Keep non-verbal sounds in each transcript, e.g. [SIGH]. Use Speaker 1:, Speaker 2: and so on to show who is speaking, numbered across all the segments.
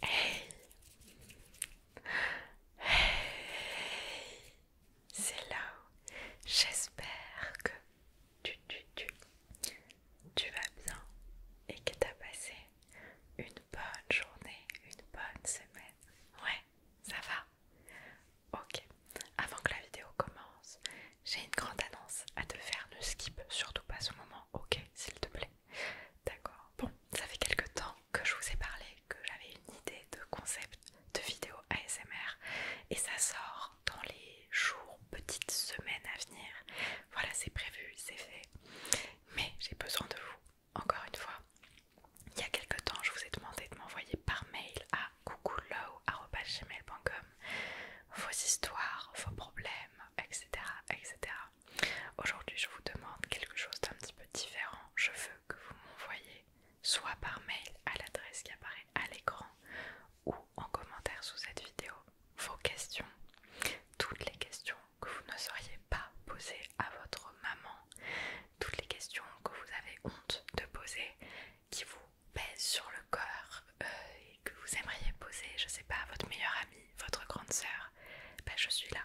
Speaker 1: Hey Hey C'est là J'espère que tu, tu, tu, tu vas bien et que tu as passé une bonne journée, une bonne semaine. Ouais, ça va Ok, avant que la vidéo commence, j'ai une grande annonce à te faire. Ne skip surtout pas ce moment, ok, s'il te plaît. D'accord. Bon, ça fait quelques temps que je vous ai parlé, que j'avais une idée de concept de vidéo ASMR et ça sort dans les jours, petites semaines à venir. Voilà, c'est prévu, c'est fait. Mais j'ai besoin de vous, encore une fois. Il y a quelques temps, je vous ai demandé de m'envoyer par mail à gmail.com vos histoires, vos problèmes, etc. etc. Aujourd'hui, je vous demande quelque chose d'un petit peu différent. Je veux que vous m'envoyez soit par mail à l'adresse qui apparaît à l'écran ou en commentaire sous cette vidéo vos questions, toutes les questions que vous ne sauriez pas poser à votre maman, toutes les questions que vous avez honte de poser, qui vous pèse sur le corps euh, et que vous aimeriez poser, je sais pas, votre meilleure amie, votre grande sœur, bah, je suis là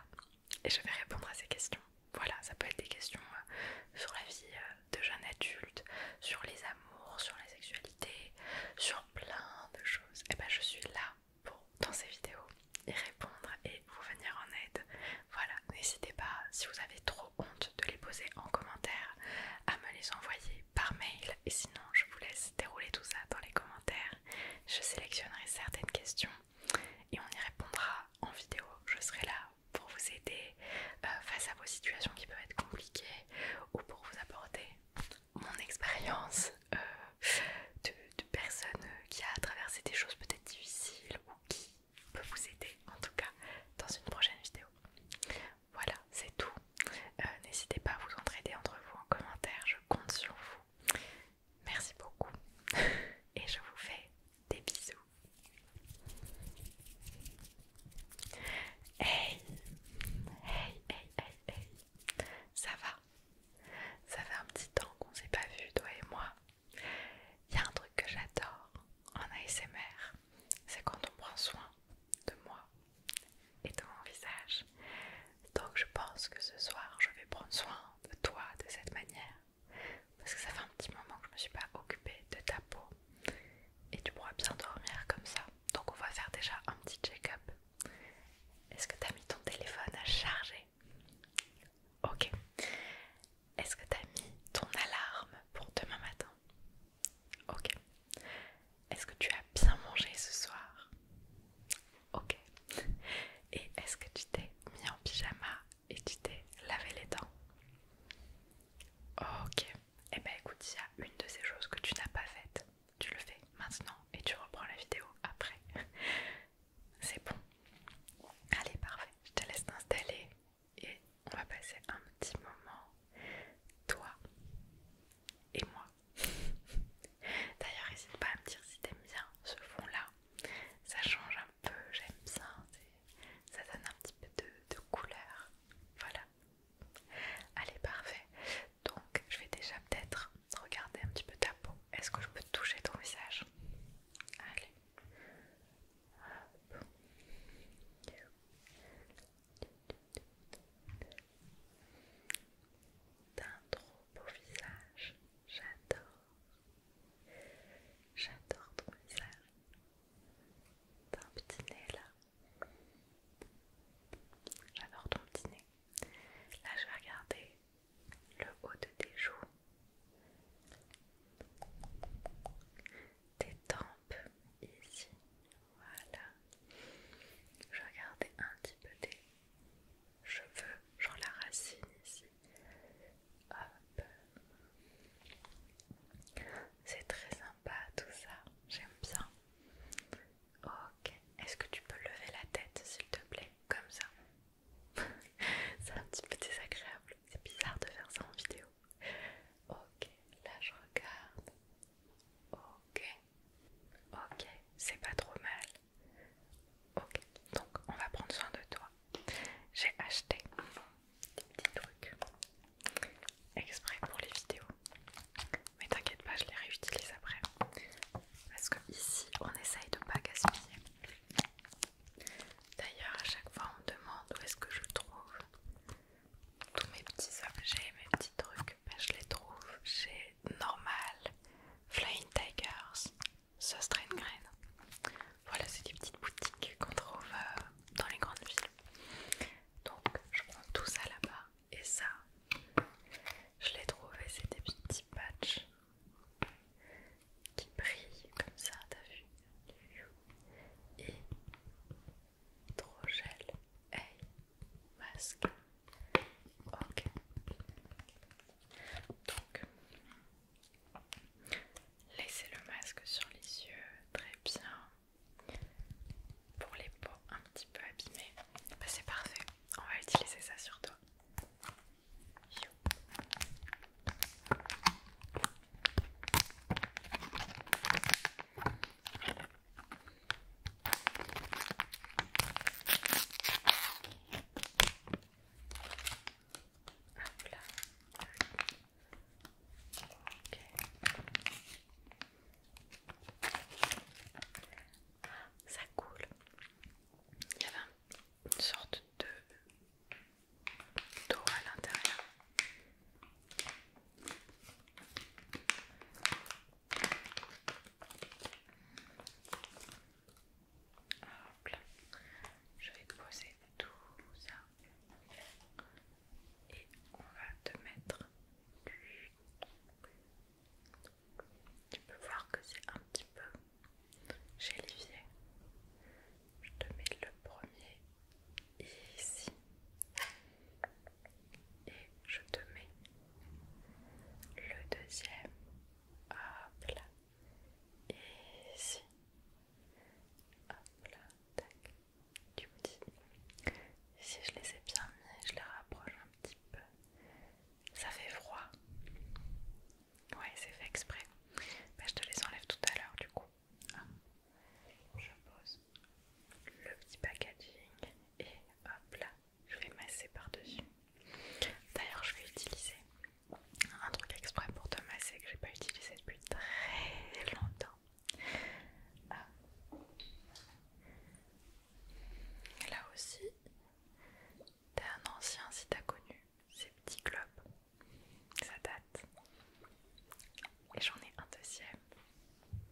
Speaker 1: et je vais répondre à ces questions. Voilà, ça peut être des questions euh, sur la vie euh, de jeune adulte, sur les amours, sur la sexualité, sur plein de choses. Et ben je suis là pour, dans ces vidéos, y répondre et vous venir en aide. Voilà, n'hésitez pas, si vous avez trop de les poser en commentaire, à me les envoyer par mail. Et sinon, je vous laisse dérouler tout ça dans les commentaires. Je sélectionnerai certaines questions et on y répondra en vidéo. Je serai là pour vous aider euh, face à vos situations qui peuvent être compliquées ou pour vous apporter mon expérience euh, de, de personne qui a traversé des choses peut-être difficiles ou qui peut vous aider en tout cas dans une prochaine vidéo. Voilà, c'est tout. Euh, n'hésitez pas à vous entraider entre vous en commentaire, je compte sur vous. Merci beaucoup [LAUGHS] et je vous fais des bisous. Hey, hey, hey, hey, hey, ça va Ça fait un petit temps qu'on s'est pas vu, toi et moi. Il y a un truc que j'adore en ASMR, c'est quand on prend soin de moi et de mon visage. Donc je pense que ce soir, je vais prendre soin de toi de cette manière. Parce que ça fait un petit moment que je ne me suis pas occupée de ta peau. Et tu pourras bien dormir comme ça. Donc on va faire déjà un petit check-up. Est-ce que tu as mis ton téléphone à charger Ok. Est-ce que tu as mis ton alarme pour demain matin Ok. Est-ce que tu as bien mangé ce soir Ok. Et est-ce que tu t'es mis en pyjama et tu t'es lavé les dents Ok. Eh ben écoute, il y a une de ces choses que tu n'as pas faites. Tu le fais maintenant et tu reprends la vidéo après. [LAUGHS] C'est bon. Allez, parfait. Je te laisse t'installer et on va passer un petit moment, toi et moi. [LAUGHS] D'ailleurs, n'hésite pas à me dire si t'aimes bien ce fond-là. Ça change un peu, j'aime ça. Ça donne un petit peu de, couleur. Voilà. Allez, parfait. Donc, je vais déjà peut-être regarder un petit peu ta peau. Est-ce que je peux toucher ton visage Allez. D'un trop beau visage, j'adore. J'adore ton visage. un petit nez là. J'adore ton petit nez. Là, je vais regarder le haut de tes joues. Tes dents ici. Voilà. Je vais un petit peu des cheveux, genre la racine ici. Hop. C'est très sympa tout ça. J'aime bien. Ok. Est-ce que tu peux lever la tête s'il te plaît Comme ça. [LAUGHS] C'est un petit peu désagréable. C'est bizarre de faire ça en vidéo. Ok, là je regarde. Ok, ok, c'est pas trop mal. Ok, donc on va prendre soin de toi. J'ai acheté des petits trucs exprès pour les vidéos. Mais t'inquiète pas, je les réutilise après. Parce que ici, on essaye de pas gaspiller. D'ailleurs, à chaque fois, on me demande où est-ce que je trouve tous mes petits objets, mes petits trucs, bah, je les trouve chez Normal, Flying Tigers, Sostrain Strain Grain. Voilà, c'est des petites boutiques qu'on trouve euh, dans les grandes villes. Donc je prends tout ça là-bas et ça, je l'ai trouvé, c'est des petits patchs qui brillent comme ça, t'as vu Et gel. hey, masque. Ok. Donc, laissez le masque sur les yeux, très bien. Pour les peaux un petit peu abîmées, bah, c'est parfait. On va utiliser ça sur toi. Ça coule. Il y avait une sorte de d'eau à l'intérieur. Je vais te poser tout ça et on va te mettre du... Tu peux voir que c'est un petit peu gélifié. Je te mets le premier ici. Et je te mets le deuxième. Hop là. ici. Hop là. Tac. Tu me dis. Si je les ai bien mis, je les rapproche un petit peu. Ça fait froid. Ouais, c'est fait exprès. mais bah, je te les enlève tout à l'heure du coup. Ah. Je pose le petit packaging et hop là, je vais masser par-dessus. D'ailleurs, je vais utiliser un truc exprès pour te masser que j'ai pas utilisé depuis très longtemps. Ah. Là aussi, t'es un ancien si t'as connu ces petits globes, ça date. Et j'en ai un deuxième.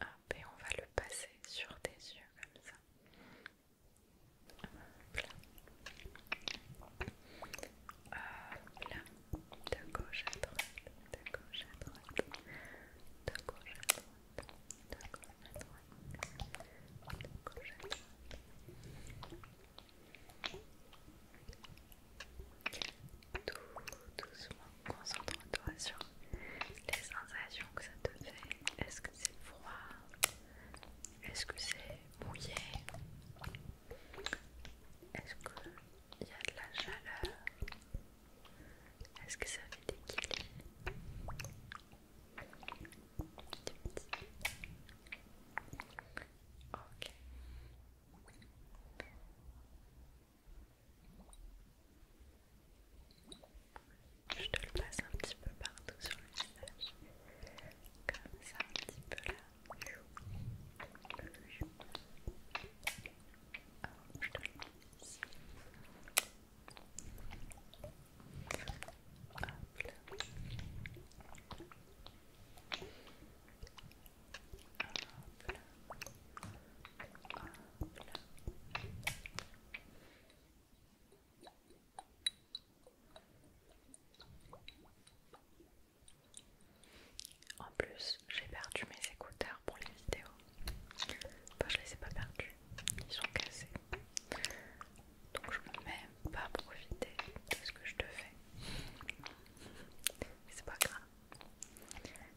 Speaker 1: Hop, et on va le passer sur tes yeux comme ça. Là, là. de gauche à droite, de gauche à droite, de gauche à droite, de gauche à droite, de gauche à droite. Tout doucement, concentre-toi sur les sensations que ça te fait. Est-ce que c'est froid Est-ce que c'est mouillé Est-ce qu'il y a de la chaleur Est-ce que ça fait des kills Ok. Je te le passe un petit peu partout sur le visage, comme ça, un petit peu là. je en plus, j'ai perdu mes écouteurs pour les vidéos. Enfin, je les ai pas perdus, ils sont cassés. Donc, je peux même pas profiter de ce que je te fais. C'est pas grave.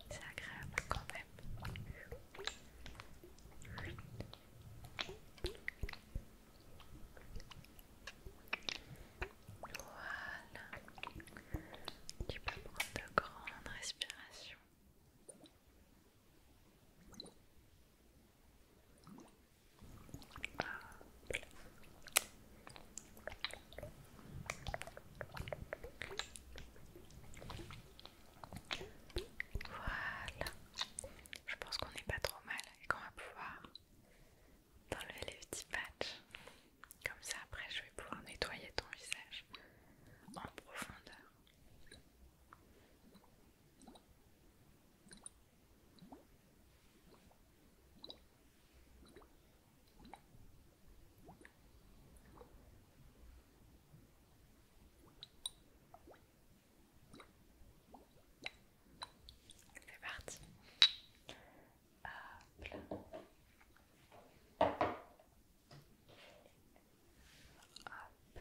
Speaker 1: C'est agréable quand même. Voilà. Tu peux prendre de grandes respirations. Ah. Voilà. Je pense qu'on n'est pas trop mal et qu'on va pouvoir enlever les petits patchs. Comme ça, après, je vais pouvoir nettoyer ton visage en profondeur. C'est parti. Hop Hop.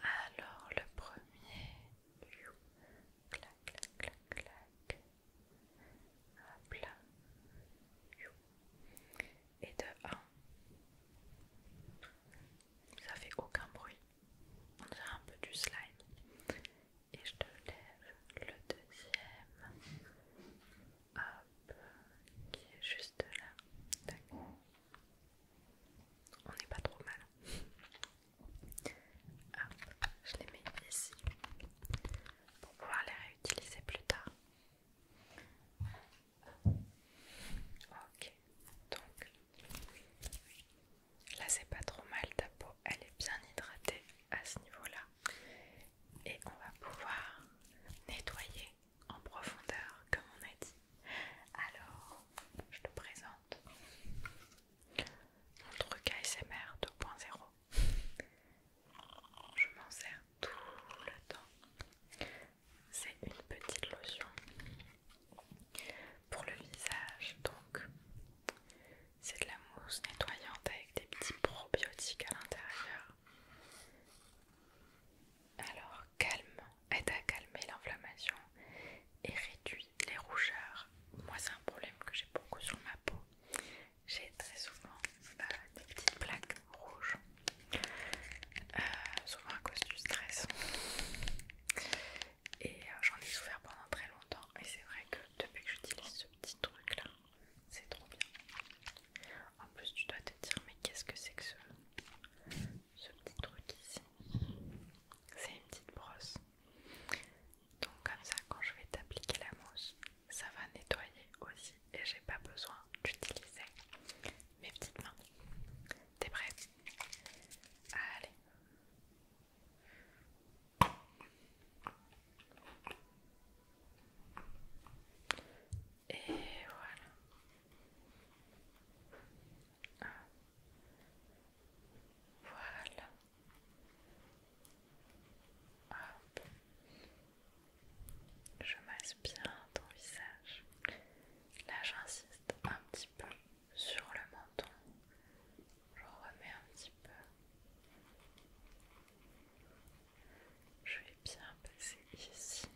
Speaker 1: Alors le premier, clac, clac, clac, clac. Hop là. Et de 1. Ça fait aucun bruit. On a un peu du slime. Et je te lève le deuxième. Hop. Qui est juste là. On n'est pas trop mal je les mets ici pour pouvoir les réutiliser plus tard. Ok, donc là c'est pas trop mal, ta peau elle est bien hydratée à ce niveau-là. Et on va pouvoir nettoyer en profondeur comme on a dit. Alors, je te présente mon truc ASMR 2.0. Je m'en sers tout le temps. C'est une petite lotion pour le visage. Donc, c'est de la mousse nettoyante avec des petits probiotiques à l'intérieur. Alors, calme, aide à calmer l'inflammation et réduit les rougeurs. Moi, c'est un problème que j'ai beaucoup sur ma peau j'ai très souvent euh, des petites plaques rouges, euh, souvent à cause du stress. Et euh, j'en ai souffert pendant très longtemps, et c'est vrai que depuis que j'utilise ce petit truc là, c'est trop bien. En plus, tu dois te dire, mais qu'est-ce que c'est que ce petit truc ici C'est une petite brosse. Donc, comme ça, quand je vais t'appliquer la mousse, ça va nettoyer aussi et j'ai pas besoin d'utiliser mes petites mains. T'es prêt Allez. Et voilà. Voilà. Je masse bien ton visage. Là, j'insiste un petit peu sur le menton. Je remets un petit peu. Je vais bien passer ici.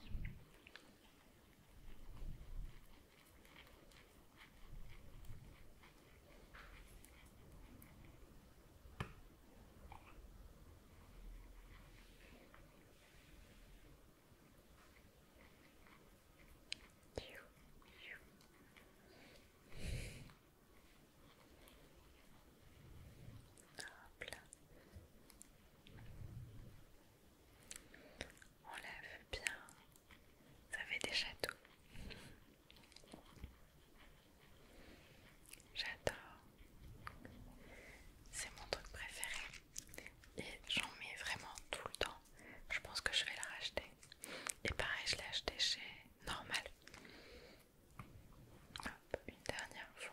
Speaker 1: On lève bien, ça fait des châteaux. J'adore. C'est mon truc préféré. Et j'en mets vraiment tout le temps. Je pense que je vais la racheter. Et pareil, je l'ai acheté chez Normal. une dernière fois.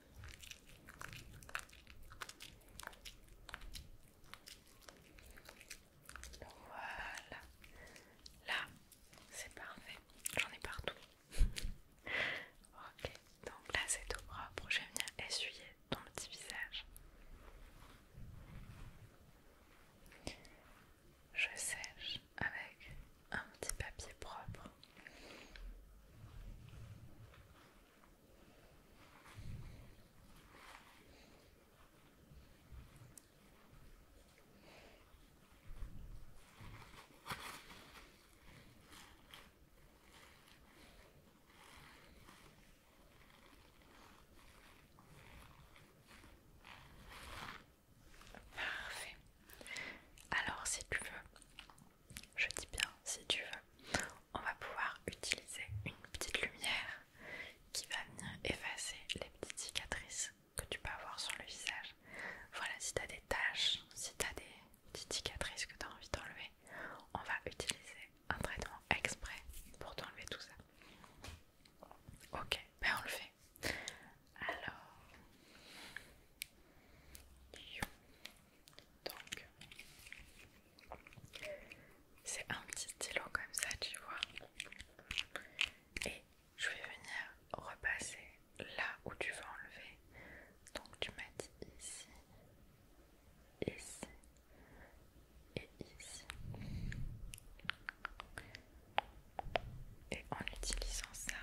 Speaker 1: Voilà. Là, c'est parfait. J'en ai partout. [LAUGHS] ok, donc là c'est tout propre. Je vais venir essuyer ton petit visage. Je sèche avec un petit papier propre. Parfait. Alors si tu veux, je dis bien si tu veux, on va pouvoir utiliser une petite lumière qui va venir effacer les petites cicatrices que tu peux avoir sur le visage. Voilà, si tu as des taches, si tu as des petites cicatrices que tu as envie d'enlever, on va utiliser un traitement exprès pour t'enlever tout ça. Ok, ben on le fait. Alors, donc, c'est un petit stylo comme ça, tu vois. Et je vais venir repasser là où tu vas enlever. Donc, tu mets ici, ici et ici. Et en utilisant ça,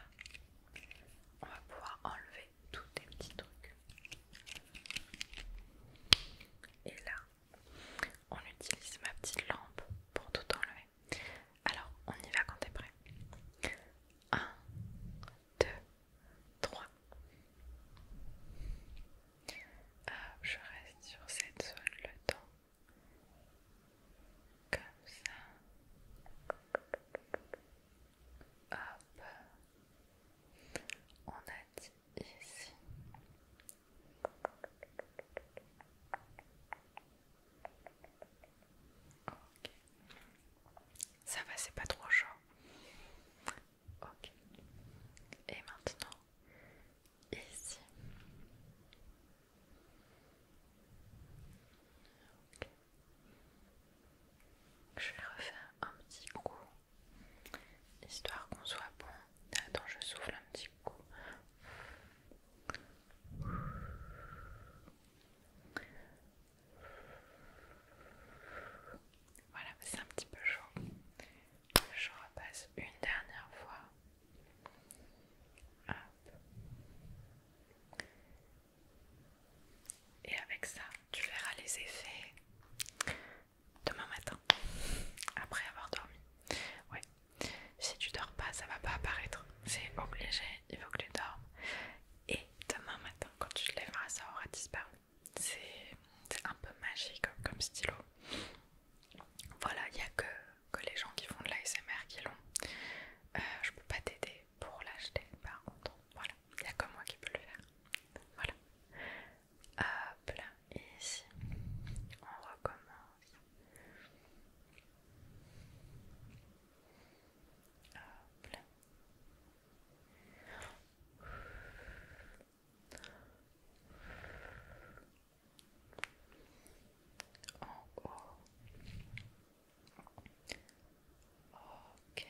Speaker 1: on va pouvoir enlever tous tes petits trucs. Et là, on utilise ma petite lampe pour tout enlever. Alors, on y va quand t'es prêt. 1, 2, 3. je reste sur cette zone le temps. Comme ça. Hop. On a dit ici. Ça va, c'est pas trop chaud. Ok. Et maintenant, ici. Je vais refaire un petit coup, histoire qu'on soit bon. Attends, je souffle un petit coup. Voilà, c'est un petit peu chaud. Je repasse une dernière fois. Hop. Et avec ça, tu verras les effets demain matin, après avoir dormi. Ouais, si tu dors pas, ça va pas apparaître. C'est obligé, il faut que tu dormes. Et demain matin, quand tu te lèveras, ça aura disparu. C'est un peu magique comme stylo. Voilà, il n'y a que, les gens qui font de l'ASMR qui l'ont. Euh, je peux pas t'aider pour l'acheter par contre. Voilà, il n'y a que moi qui peux le faire. Voilà. Hop là, et ici, on recommence. Hop En haut. Ok.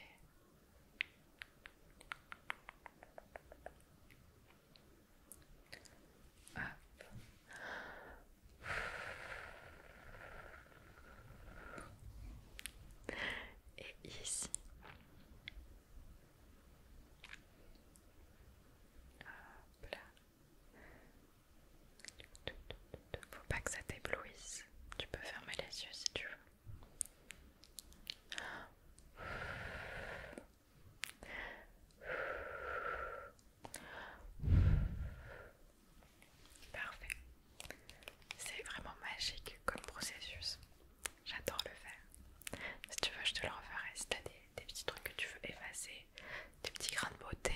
Speaker 1: Et ici. Hop là. Faut pas que ça t'éblouisse. Tu peux fermer les yeux si tu veux. Parfait. C'est vraiment magique comme processus. J'adore le faire. Si tu veux, je te le referai. Si tu as des, petits trucs que tu veux effacer, des petits grains de beauté,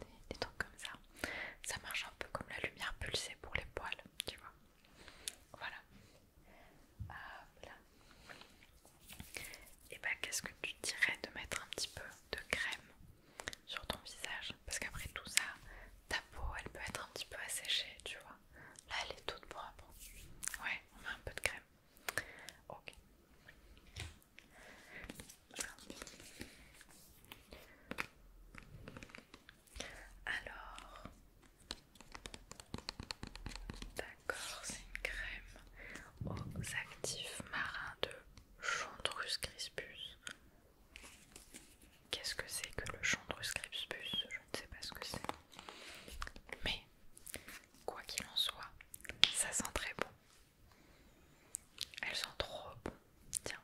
Speaker 1: euh, des trucs comme ça. Ça marche un peu comme la lumière pulsée pour les poils, tu vois. Voilà. Et bah, eh ben, qu'est-ce que tu dirais de mettre un petit peu de crème sur ton visage Parce qu'après tout ça, ta peau elle peut être un petit peu asséchée, tu vois. Là, elle est toute propre. Ouais, on met un peu de crème. Ok. Alors, d'accord, c'est une crème aux actifs marins de Chondrus crispus. Qu'est-ce que c'est que le Chondrus crispus Je ne sais pas ce que c'est. Mais, quoi qu'il en soit, ça sent très bon. Elle sent trop bon. Tiens.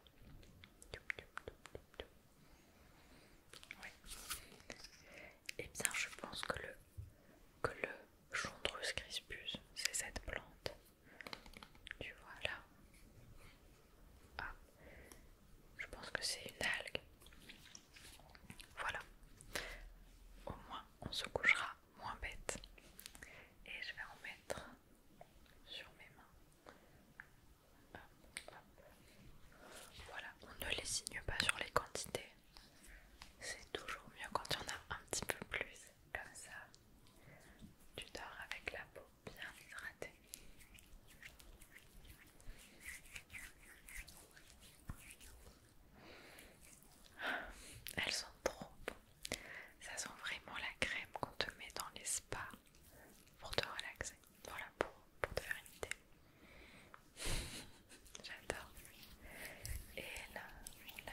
Speaker 1: Oui. Et eh bien, je pense que le que le chondrus crispus, c'est cette plante. Tu vois là. Ah. Je pense que c'est une algue. Voilà. Au moins, on se couchera moins bête. Et je vais en mettre sur mes mains voilà, on ne les signe pas sur les quantités. C'est toujours mieux quand il y en a un petit peu plus, comme ça. Tu dors avec la peau bien hydratée. Elles sont trop bonnes. Ça sent vraiment la crème qu'on te met dans les spas pour te relaxer. Voilà, pour, pour te faire une idée. [LAUGHS] J'adore. Et là, on lève. là.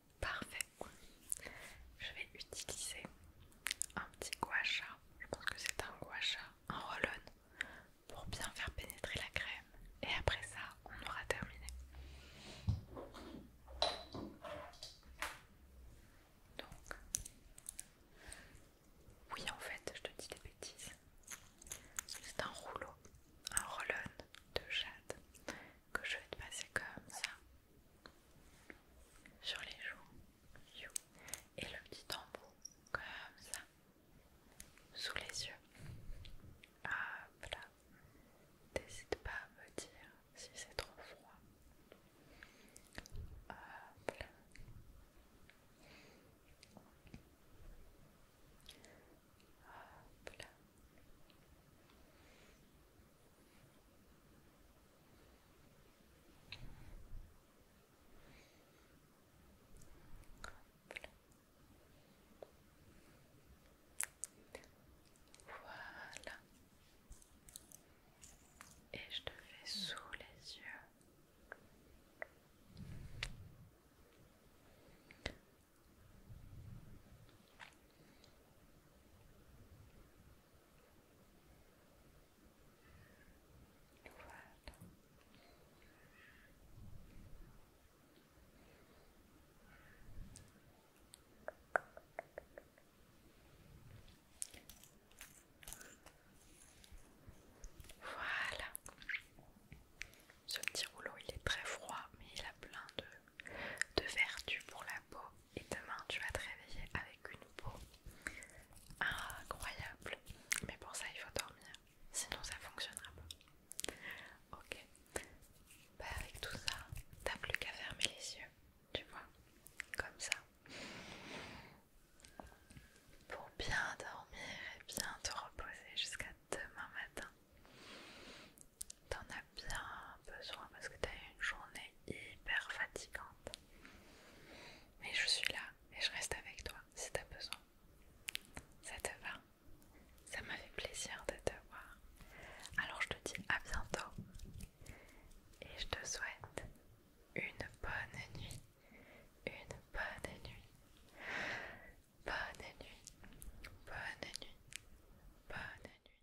Speaker 1: Parfait. Je vais utiliser un petit sha. Je pense que c'est un gouache, un roll pour bien faire pénétrer la crème. Et après ça, on aura terminé. Donc, oui, en fait, je te dis des bêtises. C'est un rouleau, un rollon de jade que je vais te passer comme ça sur les joues et le petit tambour comme ça sous les yeux. Hop là, n'hésite pas à me dire si c'est trop froid. Hop là. Hop là. Voilà. Et je te fais sous les yeux. Voilà. Voilà. Ce petit rouleau, il est très froid, mais il a plein de de vertu pour la peau et demain tu vas te réveiller avec une peau incroyable. Mais pour ça il faut dormir, sinon ça fonctionnera pas. Ok. Bah, avec tout ça, t'as plus qu'à fermer les yeux, tu vois, comme ça. Pour bien dormir et bien te reposer jusqu'à demain matin. T'en as bien besoin parce que t'as eu une journée hyper fatigante. Mais je suis là et je reste avec toi si t'as besoin. Ça te va Ça m'a fait plaisir de te voir. Alors je te dis à bientôt et je te souhaite une bonne nuit. Une bonne nuit. Bonne nuit. Bonne nuit. Bonne nuit.